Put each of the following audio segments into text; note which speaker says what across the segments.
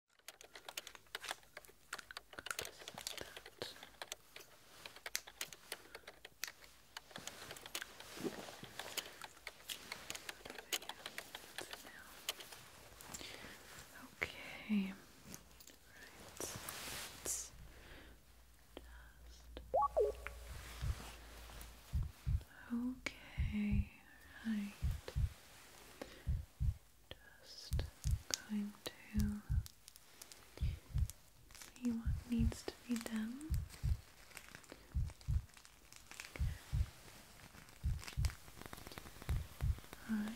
Speaker 1: Okay. Right. Okay, right. Just going to see what needs to be done. Alright.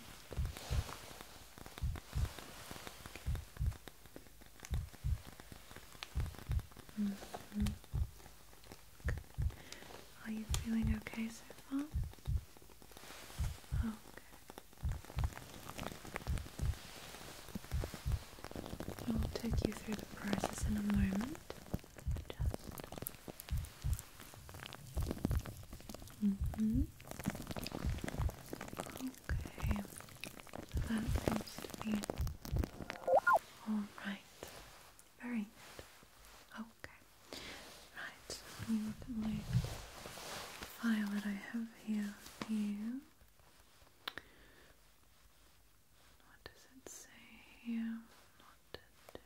Speaker 1: -hmm. Are you feeling okay so far? Okay. I'll take you through the process in a moment. Mm-hmm. Okay. That seems to be all right. Very Okay. Right, let my file that I have here for What does it say here? What to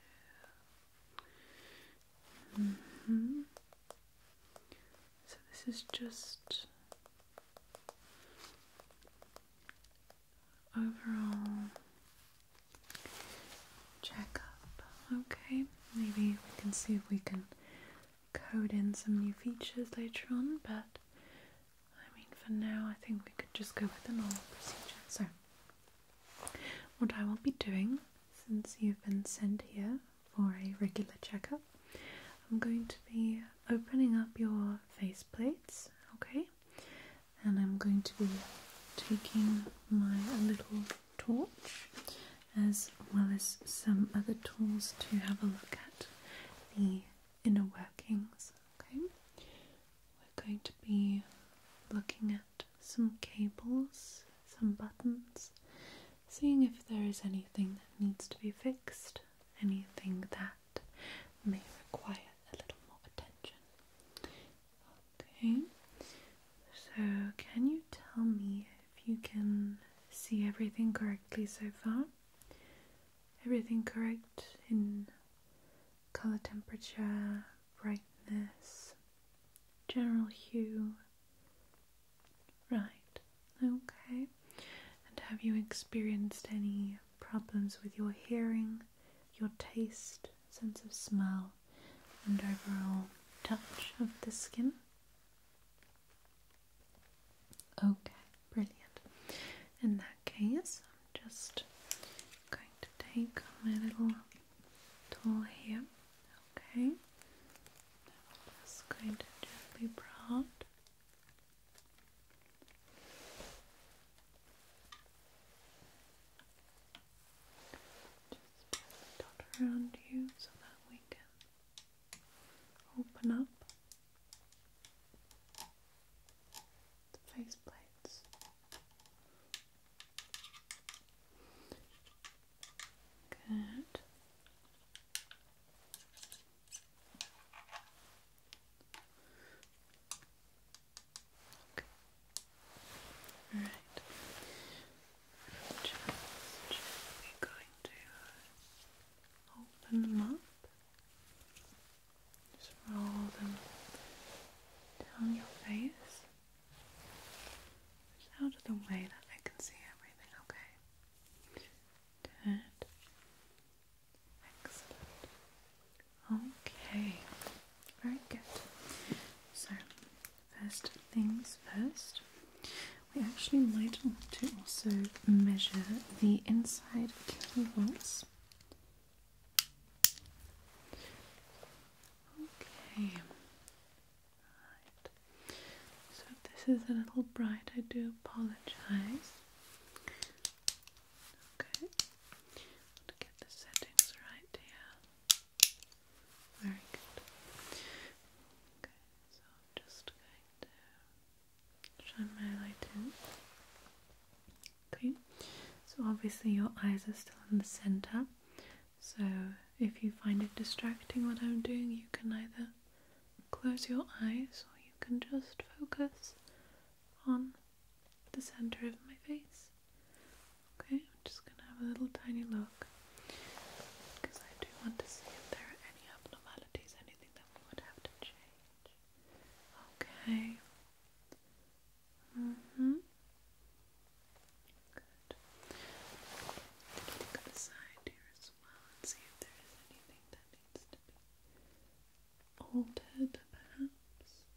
Speaker 1: do? Mm-hmm. So this is just overall check Okay, maybe we can see if we can code in some new features later on, but I mean, for now, I think we could just go with the normal procedure. So, what I will be doing since you've been sent here for a regular checkup, I'm going to be opening up your face plates, okay, and I'm going to be taking my little torch as well as some other tools to have a look at the inner workings. Okay, we're going to be looking at some cables, some buttons, seeing if there is anything that needs to be fixed, anything that may require a little more attention. Okay, so can you tell me if you can see everything correctly so far? Everything correct in color temperature, brightness, general hue? Right, okay. And have you experienced any problems with your hearing, your taste, sense of smell and overall touch of the skin. Okay, brilliant. In that case, I'm just going to take my little tool here. Okay, I'm just going to gently prod. Just around you so that we can open up the face plates. Okay. All right. I'm going to open them up. Just roll them down your face. Just out of the way that I can see everything, okay? Good. Okay, very good. So, first things first, we actually might want to also measure the inside kilovolts. Okay, right. So, this is a little bright, I do apologize. Okay, get the settings right here. Very good. Okay, so I'm just going to shine my light in. Okay, so obviously your eyes are still in the center, so if you find it distracting what I'm doing, you can either close your eyes or you can just focus on the center of my face. Okay, I'm just gonna have a little tiny look because I do want to see if there are any abnormalities, anything that we would have to change. Okay. Mm-hmm. Good. Let's look at the side here as well and see if there is anything that needs to be altered, perhaps.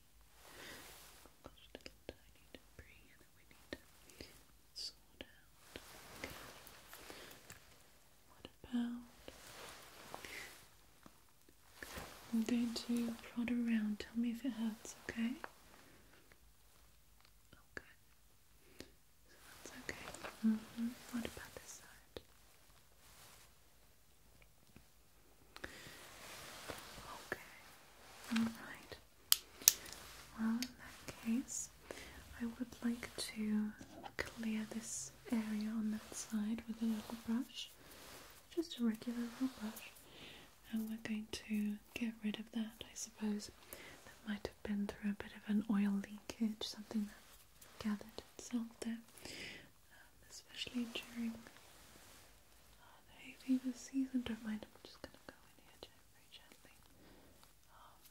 Speaker 1: we need to sort out. What about? I'm going to prod around. Tell me if it hurts, okay? Okay. So that's okay. Mm -hmm. What about this side? Okay. Alright. Well, in that case, I would like to clear this area on that side with a little brush, just a regular little brush, and we're going to get rid of that. I suppose that might have been through a bit of an oil leakage, something that gathered itself there, um, especially during hay fever season, don't mind, I'm just going to go in here very gently. Um,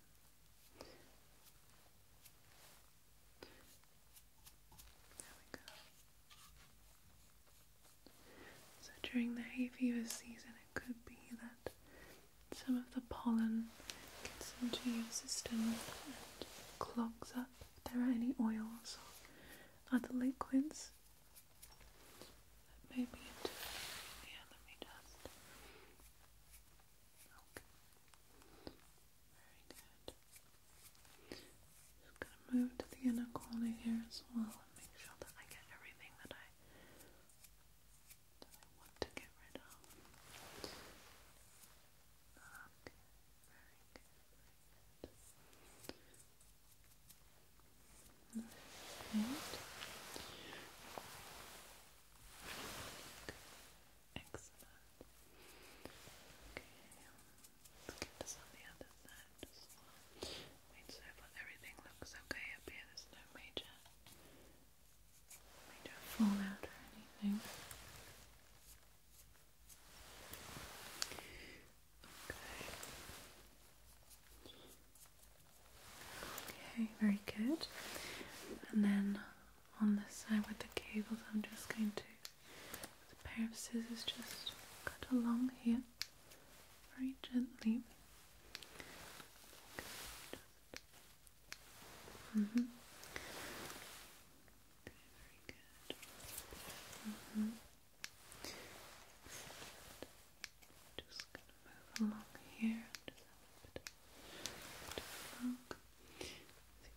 Speaker 1: there we go. So during the hay fever season, it could be that some of the pollen gets into your system and clogs up. If there are any oils or other liquids Maybe into yeah, let me just Very good. Just gonna move to the inner corner here as well make sure that I get everything that I that I want to get rid of. Okay, very very good. Right. Excellent. Okay, let's get this on the other side as well. Wait, so far everything looks okay up here. There's no major, major fallout or anything. Okay, very good. And then on this side with the cables, I'm just going to, a pair of scissors, just cut along here very gently. Mm -hmm. very good. Mm-hmm. Just gonna move along here.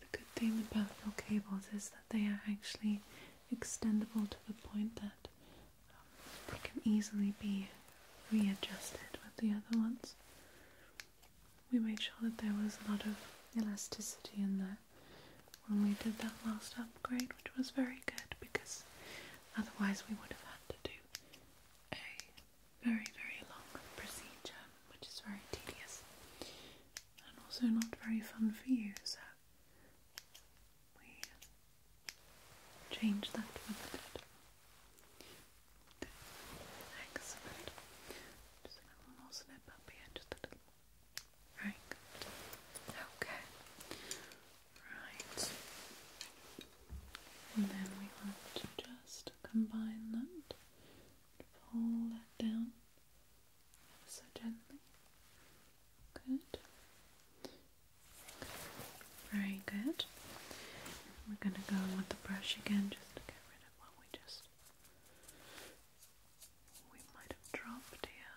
Speaker 1: the good thing about your cables is that they are actually extendable to the point that um, they can easily be readjusted with the other ones. We made sure that there was a lot of elasticity in there when we did that last upgrade, which was very good because otherwise we would have had to do a very, very long procedure, which is very tedious and also not very fun for you. So we changed that when Excellent. Just a little more snip up here, just a little Right, Okay. Right. And then we want to just combine that. Pull that down so gently. Good. Very good. We're going to go with the brush again just to get rid of what we just. We might have dropped here.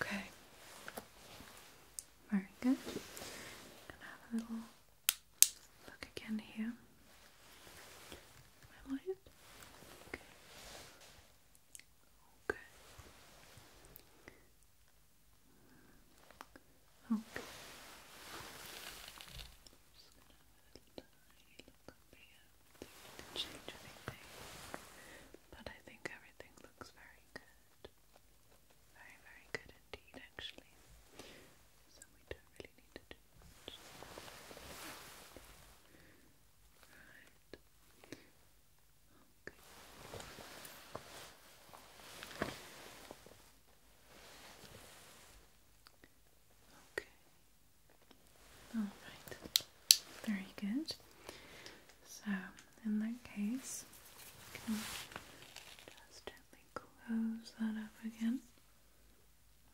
Speaker 1: Okay. Very good. Gonna have a little look again here. Am light? Okay. Okay. Okay. Change anything, but I think everything looks very good. Very, very good indeed, actually. So we don't really need to do much. Right. Okay. Okay. All right. Very good. So, in that case, can just gently close that up again,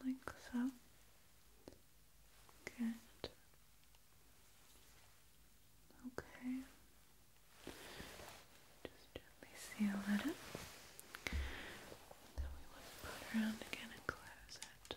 Speaker 1: like so. Good. Okay. Just gently seal that up. Then we want to put around again and close it.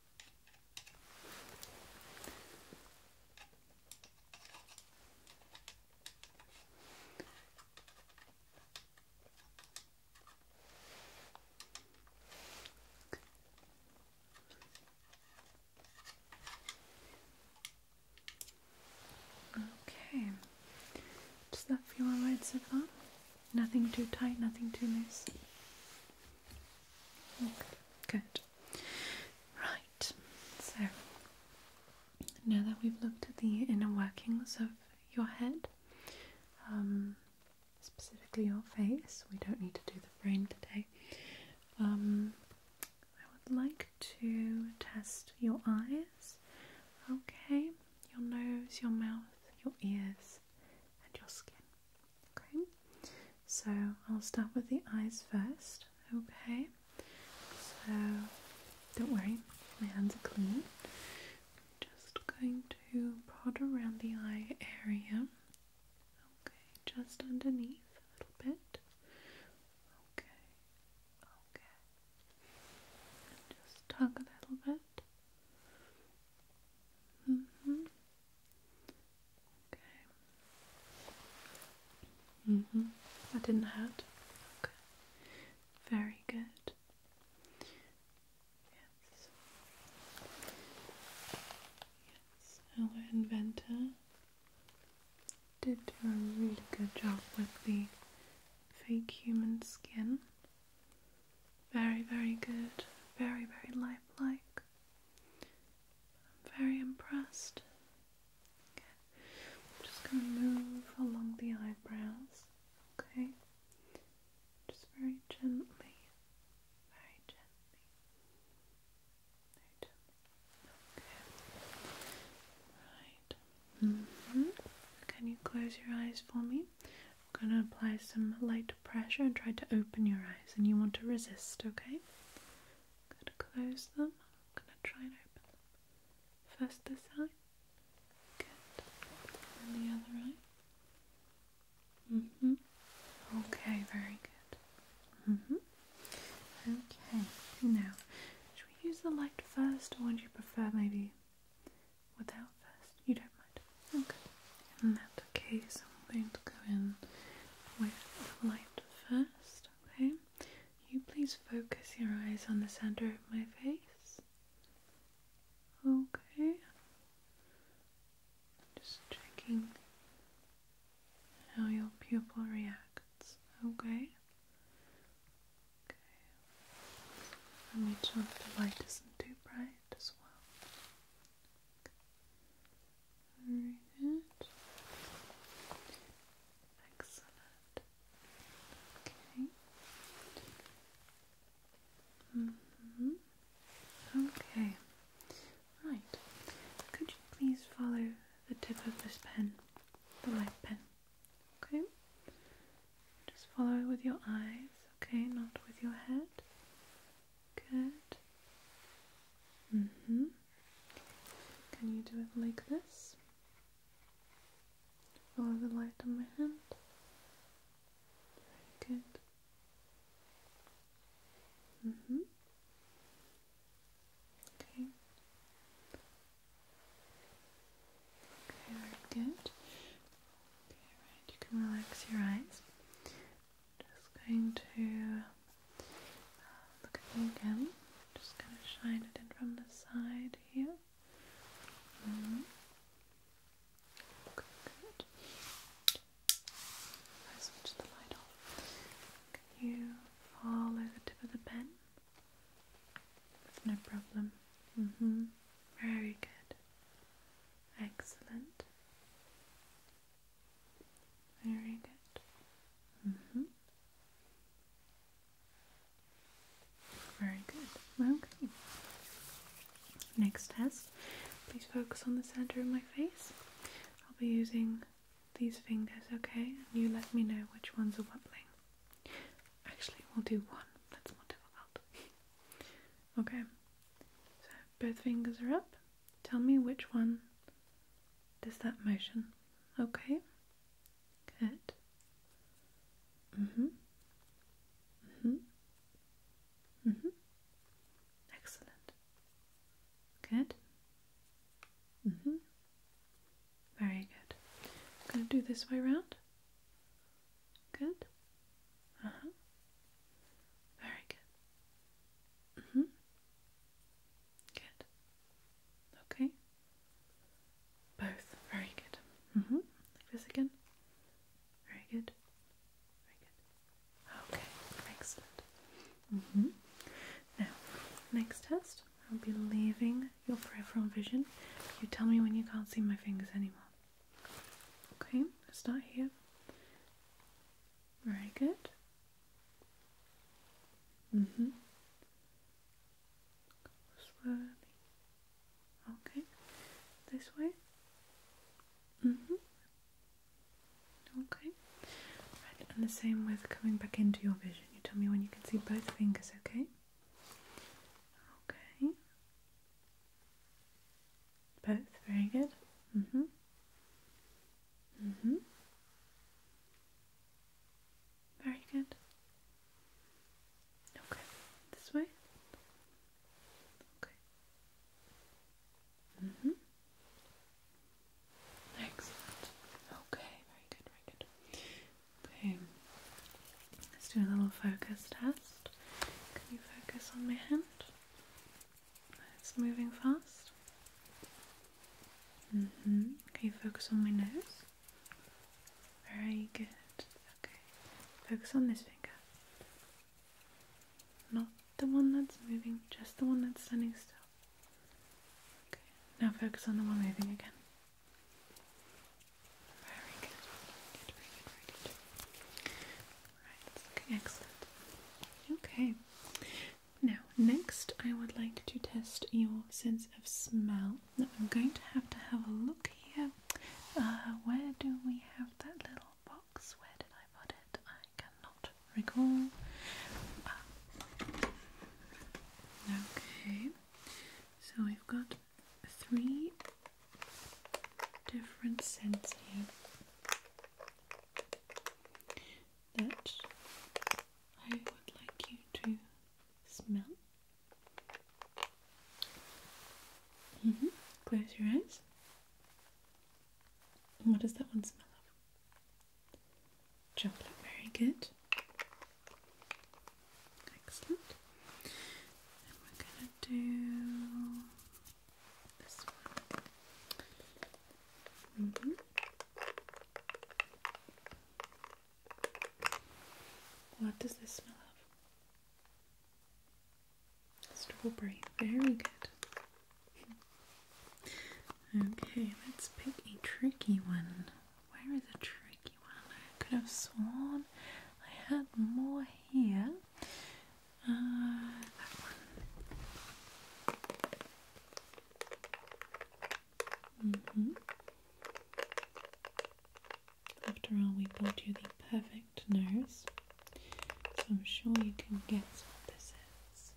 Speaker 1: Okay. Does that feel alright so far? Nothing too tight, nothing too loose. Okay. Good. Right, so now that we've looked at the inner workings of your head, um, specifically your face, we don't need to do the brain today. Um, I would like to test your eyes, okay, your nose, your mouth, your ears, and your skin. Okay, so I'll start with the eyes first. Okay, so don't worry, my hands are clean. Just going to prod around the eye area. Okay, just underneath a little bit. Okay, okay. just tug a little bit. Mm -hmm. Okay. Mhm. Mm that didn't hurt. Okay. Very good. Yes. Yes. Our inventor did do a really good job with the fake human skin. Very, very good. Very, very lifelike. I'm very impressed. Okay, I'm just going to move along the eyebrows. Okay, just very gently, very gently, very gently. Okay, right. Mm -hmm. Can you close your eyes for me? I'm going to apply some light pressure and try to open your eyes and you want to resist, okay? i close them. I'm going to try and open them. First this eye. Good. And the other eye. hmm. Okay, very good. hmm. Okay, now, should we use the light first or would you prefer maybe without first? You don't mind. Okay, in that case, I'm going to go in with the light first. Okay, you please focus your eyes on the center of my face. Okay, just checking how your pupil reacts. Okay. Okay. I'll make sure the light isn't too bright as well. Very good. Excellent. Okay. -hmm. Okay. Right. Could you please follow the tip of this pen, the light pen? Okay. Just follow it with your eyes, okay, not with your head. Good. Mm hmm. Can you do it like this? Follow the light on my hand. Very good. Mm hmm. Okay. Okay, very good. Okay, right, you can relax your eyes. Just going to uh, look at you again. Just going to shine it in from the side here. Mm-hmm. Good, good. I the light off. you follow the tip of the pen? No problem. Mm-hmm. Very good. Excellent. Very good. Mm-hmm. Very good. Okay. Next test. Please focus on the center of my face. I'll be using these fingers, okay? And you let me know which ones are wobbling. Actually, we'll do one. That's more difficult. okay. So both fingers are up. Tell me which one does that motion. Okay? Good. Mm-hmm. Mm-hmm. Mm-hmm. Excellent. Good. Mm-hmm. Very good. I'm gonna do this way round. Good. Uh huh. Very good. Mhm. Mm good. Okay. Both. Very good. Mhm. Mm like this again. Very good. Very good. Okay. Excellent. Mhm. Mm now, next test. I'll be leaving your peripheral vision. You tell me when you can't see my fingers anymore. Okay, start here. Very good. Mm-hmm. Slowly. Okay. This way. Mm-hmm. Okay. Right, and the same with coming back into your vision. You tell me when you can see both fingers, okay? Okay. Both, very good. Mm-hmm. Mm-hmm. Very good. Okay. This way. Okay. Mm-hmm. Excellent. Okay, very good, very good. Okay. Let's do a little focus test. Can you focus on my hand? It's moving fast. Mm Can you focus on my nose? Very good. Okay. Focus on this finger. Not the one that's moving, just the one that's standing still. Okay. Now focus on the one moving again. Very good, very good, very good. Alright, it's excellent. Okay. Now, next I would like to test your sense of smell. I'm going to have to have a look here. Uh, where do we have that little box? Where did I put it? I cannot recall. Ah. Okay, so we've got three different scents here that I would like you to smell. Mm -hmm. Close your eyes. what does that one smell of? Chocolate, very good. Excellent. we're gonna do Mm-hmm. What does this smell of? Strawberry. Very good. Okay, let's pick a tricky one. Where is a tricky one? I could have sworn I had more here. Uh, mm-hmm. After all, we bought you the perfect nose, so I'm sure you can guess what mm-hmm. this is.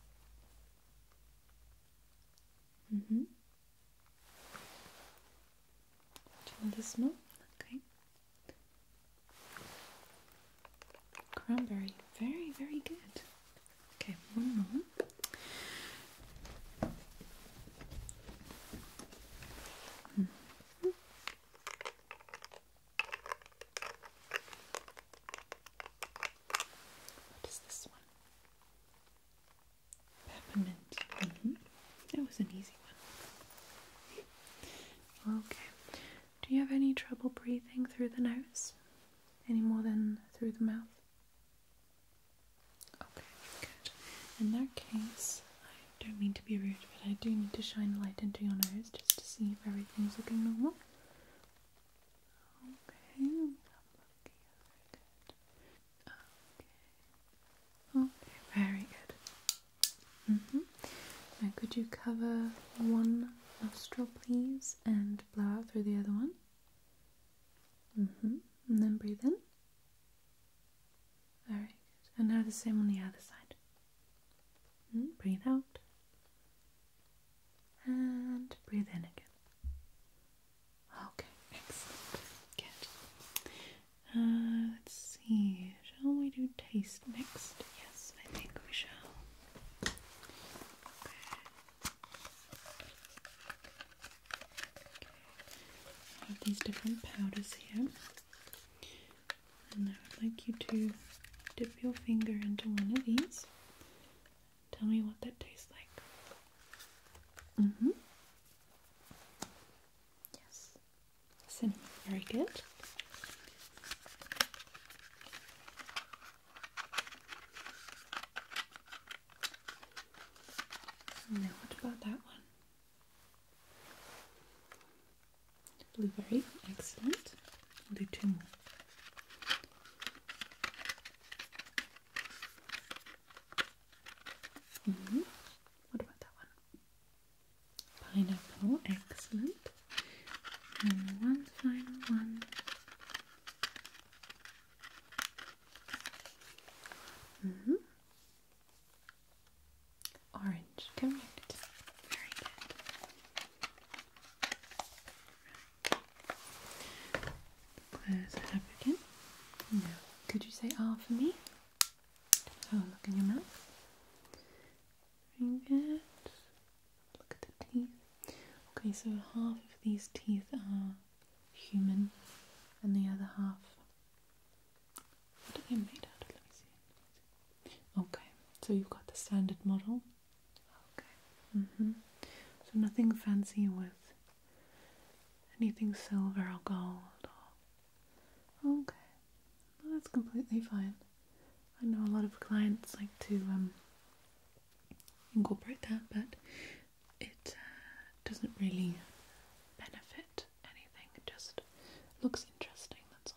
Speaker 1: hmm Do you want to smell? Okay. Cranberry, very, very good. Okay, one more. Mm-hmm. What is this one? Peppermint. Mm That was an easy one. Okay, do you have any trouble breathing through the nose any more than through the mouth? Okay, good. In that case, I don't mean to be rude, but I do need to shine a light into your nose just to see if everything's looking normal. Okay, Okay. Okay, very good. Mm -hmm. Now, could you cover one nostril, please, and blow out through the other one? Mm hmm. And then breathe in. Alright, And now the same on the other side. Mm-hmm, breathe out. And breathe in again. Okay, excellent. Good. Uh, let's see. Shall we do taste next? Yes, I think we shall. Okay. I have these different powders here, and I would like you to dip your finger into one of these. Tell me what that tastes like. Mm hmm. Yes. Cinnamon, very good. Now, what about that one? Blueberry, excellent. I'll do two more. Mm-hmm. What about that one? pineapple, excellent. And one final one. Mm -hmm. Orange, Very good. Close it again. Could you say R for me? Have oh, look in your mouth. Bring Look at the teeth. Okay, so half of these teeth are human, and the other half. What are they made out of? Let me see. Okay, so you've got the standard model. Okay. Mm-hmm. So nothing fancy with anything silver or gold or Okay, that's completely fine. I know a lot of clients like to um, incorporate that, but it uh, doesn't really benefit anything. It just looks interesting. That's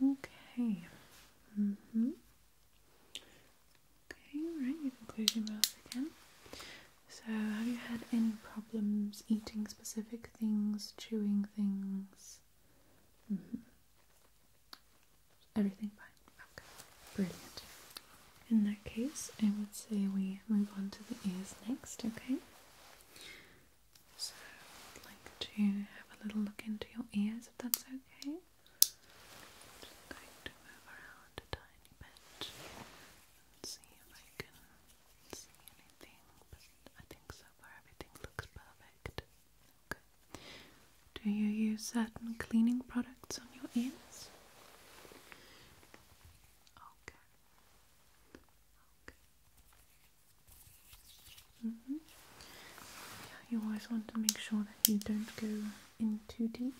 Speaker 1: all. Okay. Mm-hmm. okay. Right. You can close your mouth again. So, have you had any problems eating specific things, chewing things? Mm-hmm. Everything fine. Okay. Brilliant. In that case, I would say we move on to the ears next, okay? So, I'd like to have a little look into your ears if that's okay. Just going to move around a tiny bit and see if I can see anything, I think so far everything looks perfect. Do you use certain cleaning products on your ears? Okay. Okay. Yeah, you always want to make sure that you don't go in too deep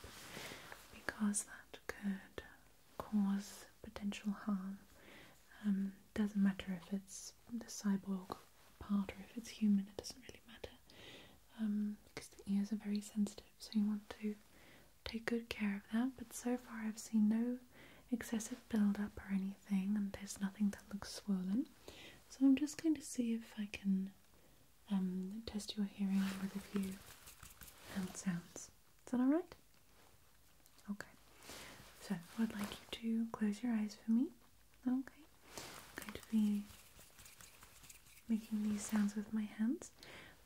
Speaker 1: because that could cause potential harm. Um, doesn't matter if it's the cyborg part or if it's human, it doesn't really matter because um, the ears are very sensitive, so you want to take good care of that. But so far, I've seen no excessive buildup or anything, and there's nothing that looks swollen. So I'm just going to see if I can um, test your hearing with a few hand sounds. Is that alright? Okay, so I'd like you to close your eyes for me. Okay, I'm going to be making these sounds with my hands.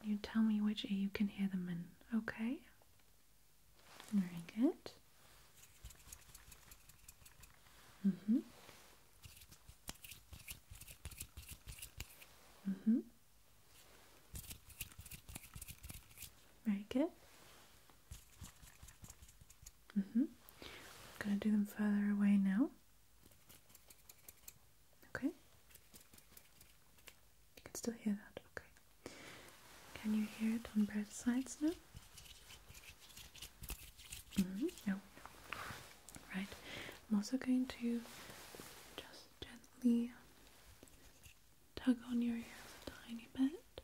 Speaker 1: You tell me which ear you can hear them in, okay? Very good. Mm-hmm. Mm-hmm. Very good hmm. I'm gonna do them further away now. Okay. You can still hear that. Okay. Can you hear it on both sides now? -hmm. No. Right. I'm also going to just gently tug on your ears a tiny bit.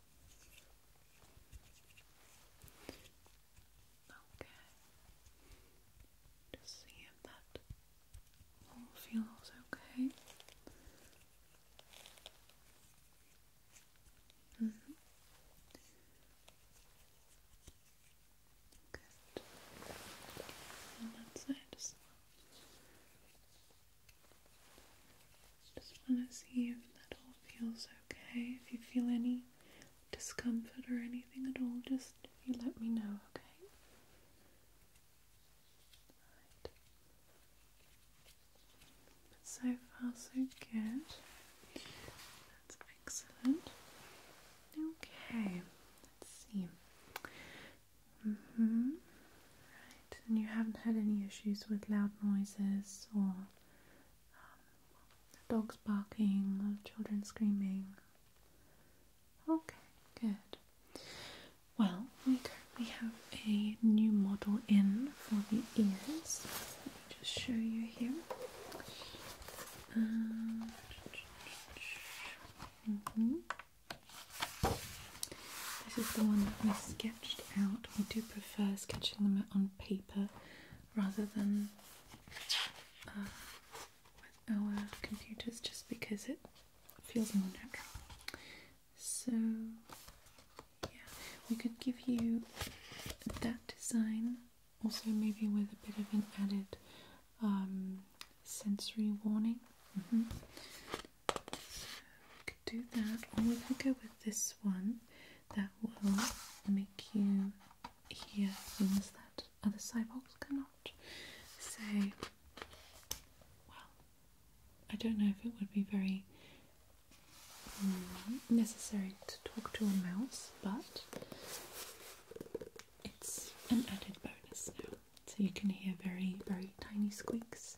Speaker 1: Okay. Just see if that all feels okay. Mm And that's it. Just want to see if that all feels okay. If you feel any discomfort or anything at all, just let me know, okay? Right. So far, so good. That's excellent. Okay, let's see. Mm-hmm. Right, and you haven't had any issues with loud noises or um, dogs barking or children screaming. Okay, good. Well, we currently have a new model in for the ears. Let me just show you here. Um, mm this is the one that we sketched out. We do prefer sketching them on paper rather than uh, with our computers just because it feels more natural. So, yeah, we could give you that design also, maybe with a bit of an added um, sensory warning. Mm-hmm. We could do that, or we could go with this one that will make you hear things that other cyborgs cannot. So, well, I don't know if it would be very mm, necessary to talk to a mouse, but it's an added bonus So you can hear very, very tiny squeaks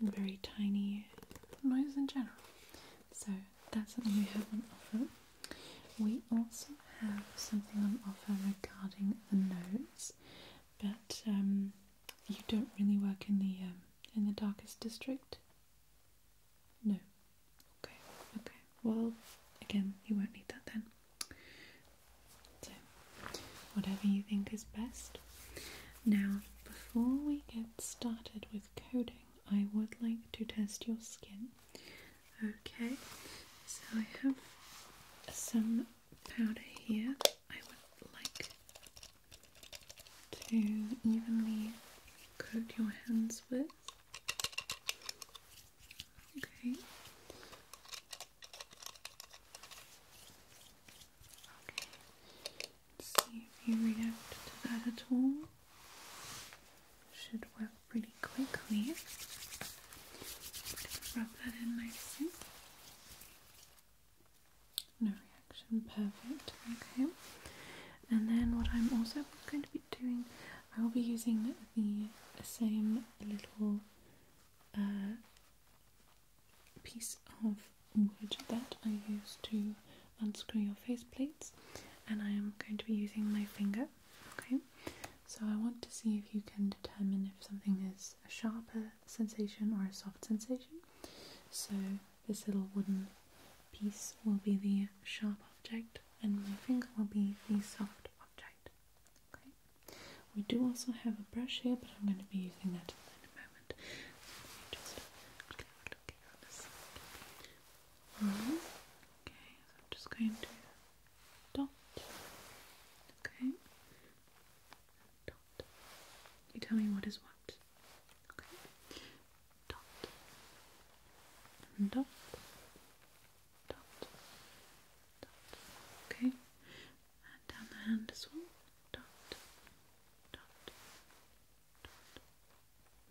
Speaker 1: very tiny knives in general. So that's something we have on offer. We also have something on offer regarding the notes, but um, you don't really work in the um, in the darkest district. No. Okay. Okay. Well, again, you won't need that then whatever you think is best. Now, before we get started with coding, I would like to test your skin. Okay, so I have some powder here. I would like to evenly coat your hands with. Okay. Okay. See if you react to that at all. Should work pretty quickly. rub that in nicely. No reaction, perfect. Okay. And then what I'm also going to be doing, I will be using the same little uh, piece of wood that I use to unscrew your face plates, and I am going to be using my finger. Okay, so I want to see if you can determine if something is a sharper sensation or a soft sensation. So, this little wooden piece will be the sharp object, and my finger will be the soft object. Okay, we do also have a brush here, but I'm going to be using that in a moment. just look Okay, so I'm just going to dot. Okay. Dot. You tell me what is what. Okay. dot. Dot. Dot. Okay and down the hand as well. Dot, dot, dot.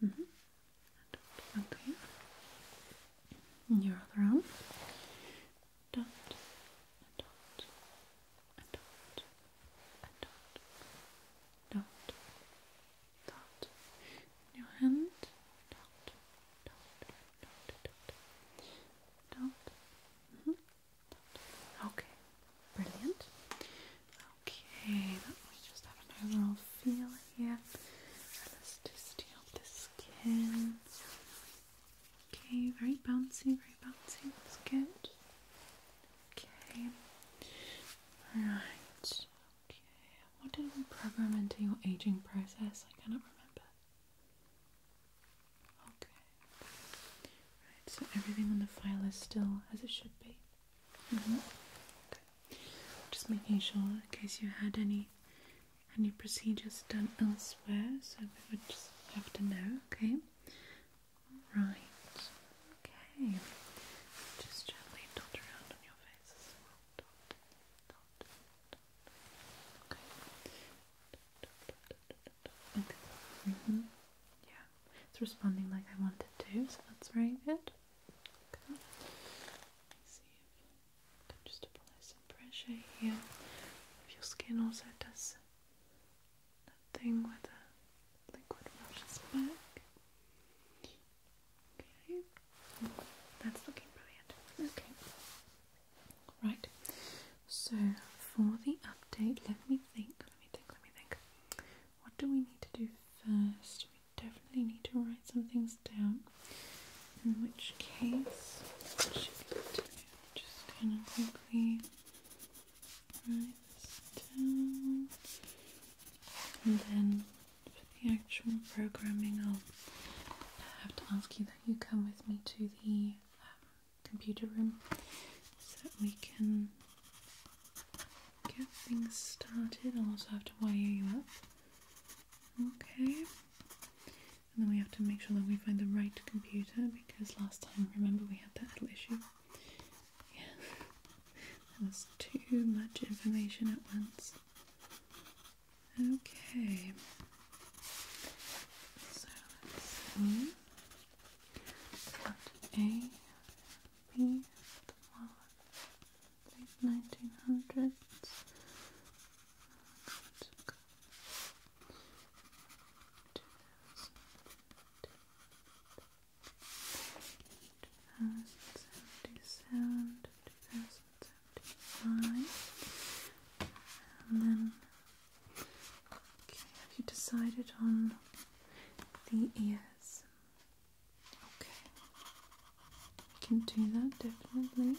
Speaker 1: Mm -hmm. And dot up here. And your other arm. Dot, and dot, and dot, and dot, dot, dot. And your hand. Dot, dot, dot, dot, dot. dot. Mm -hmm. Okay, brilliant. Okay, let me just have an overall feel here. Elasticity of the skin. Okay, very bouncy, very bouncy. That's good. Okay. Alright. Okay. What did we program into your aging process? I cannot remember. Okay. Right, so everything on the file is still as it should be. Mm-hmm. Okay. Just making sure in case you had any any procedures done elsewhere, so we would just have to know, okay? Right. Okay. Just gently dot around on your face as well. Dot, dot, dot. Okay. Mm-hmm. Yeah, it's responding like I wanted to, so that's very good. Let's see if I just apply some pressure here. If your skin also does that thing the liquid washes back. Okay. That's looking brilliant. Okay. Right. So for the update, let me think. Let me think. Let me think. What do we need to do first? We definitely need to write some things down. In which case, what should we do? Just kind of quickly write this down, and then for the actual programming, I'll have to ask you that you come with me to the um, computer room so that we can get things started. I'll also have to wire you up. Okay. And then we have to make sure that we find the right computer because last time, remember, we had that little issue. Yeah, that was too much information at once. Okay. So let's see. Part A, B, the late 1900s. Two thousand seventy-seven, two thousand seventy-five, and then have you decided on the ears? Okay, we can do that definitely.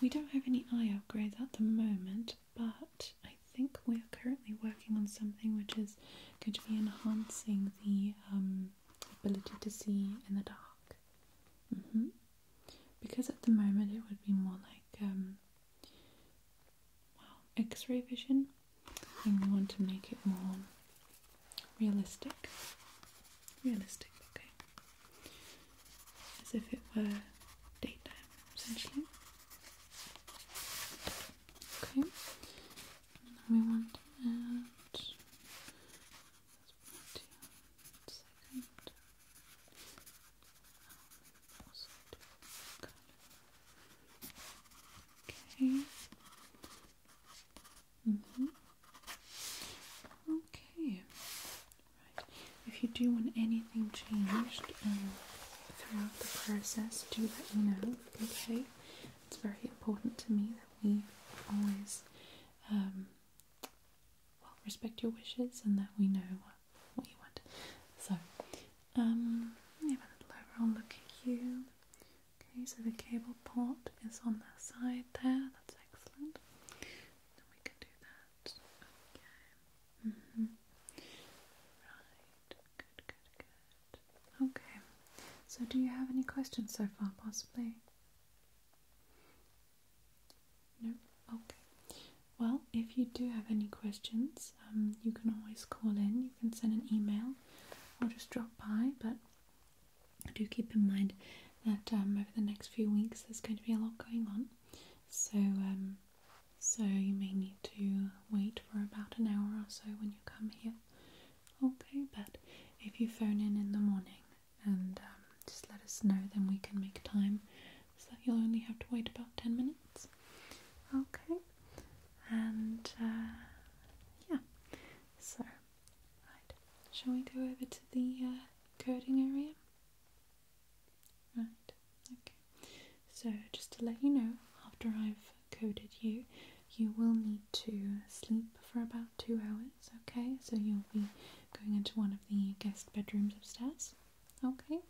Speaker 1: We don't have any eye upgrades at the moment, but I think we are currently working on something which is going to be enhancing the um, ability to see in the dark. Mm-hmm because at the moment it would be more like um, well, x-ray vision and we want to make it more realistic realistic okay as if it were daytime essentially okay and we want to one Okay. Mm-hmm. Okay. Right. If you do want anything changed um, throughout the process, do let me know. Okay. It's very important to me that we always um, well respect your wishes and that we know what, you want. So, um, yeah, a little overall look at you. Okay, so the cable port is on the side there. That's excellent. we can do that. Okay. Mm-hmm. Right. Good. Good. Good. Okay. So, do you have any questions so far, possibly? No? Okay. Well, if you do have any questions, um, you can always call in, you can send an email, or just drop by. But do keep in mind that um, over the next few weeks there's going to be a lot going on. So, um, so you may need to wait for about an hour or so when you come here. Okay, but if you phone in in the morning, and um, just let us know, then we can make time so that you'll only have to wait about 10 minutes. Okay, and uh, yeah, so right, shall we go over to the uh, coding area? Right, okay, so just to let you know, after I've coded you, you will need to sleep for about two hours, okay? So you'll be going into one of the guest bedrooms upstairs, okay?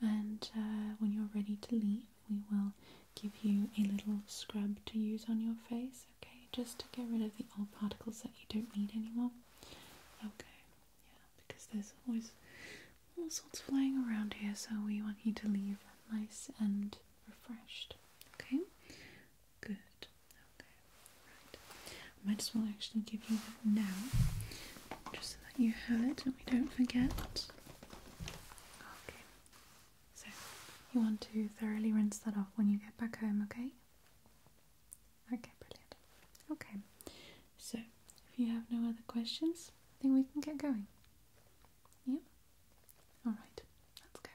Speaker 1: And uh, when you're ready to leave, we will give you a little scrub to use on your face, okay? Just to get rid of the old particles that you don't need anymore, okay? Yeah, because there's always all sorts flying around here, so we want you to leave nice and refreshed, okay? Good. Okay, right. I might as well actually give you that now, just so that you have it and we don't forget. Okay, so you want to thoroughly rinse that off when you get back home, okay? Okay, brilliant. Okay, so if you have no other questions, then we can get going. Yep. Alright, let's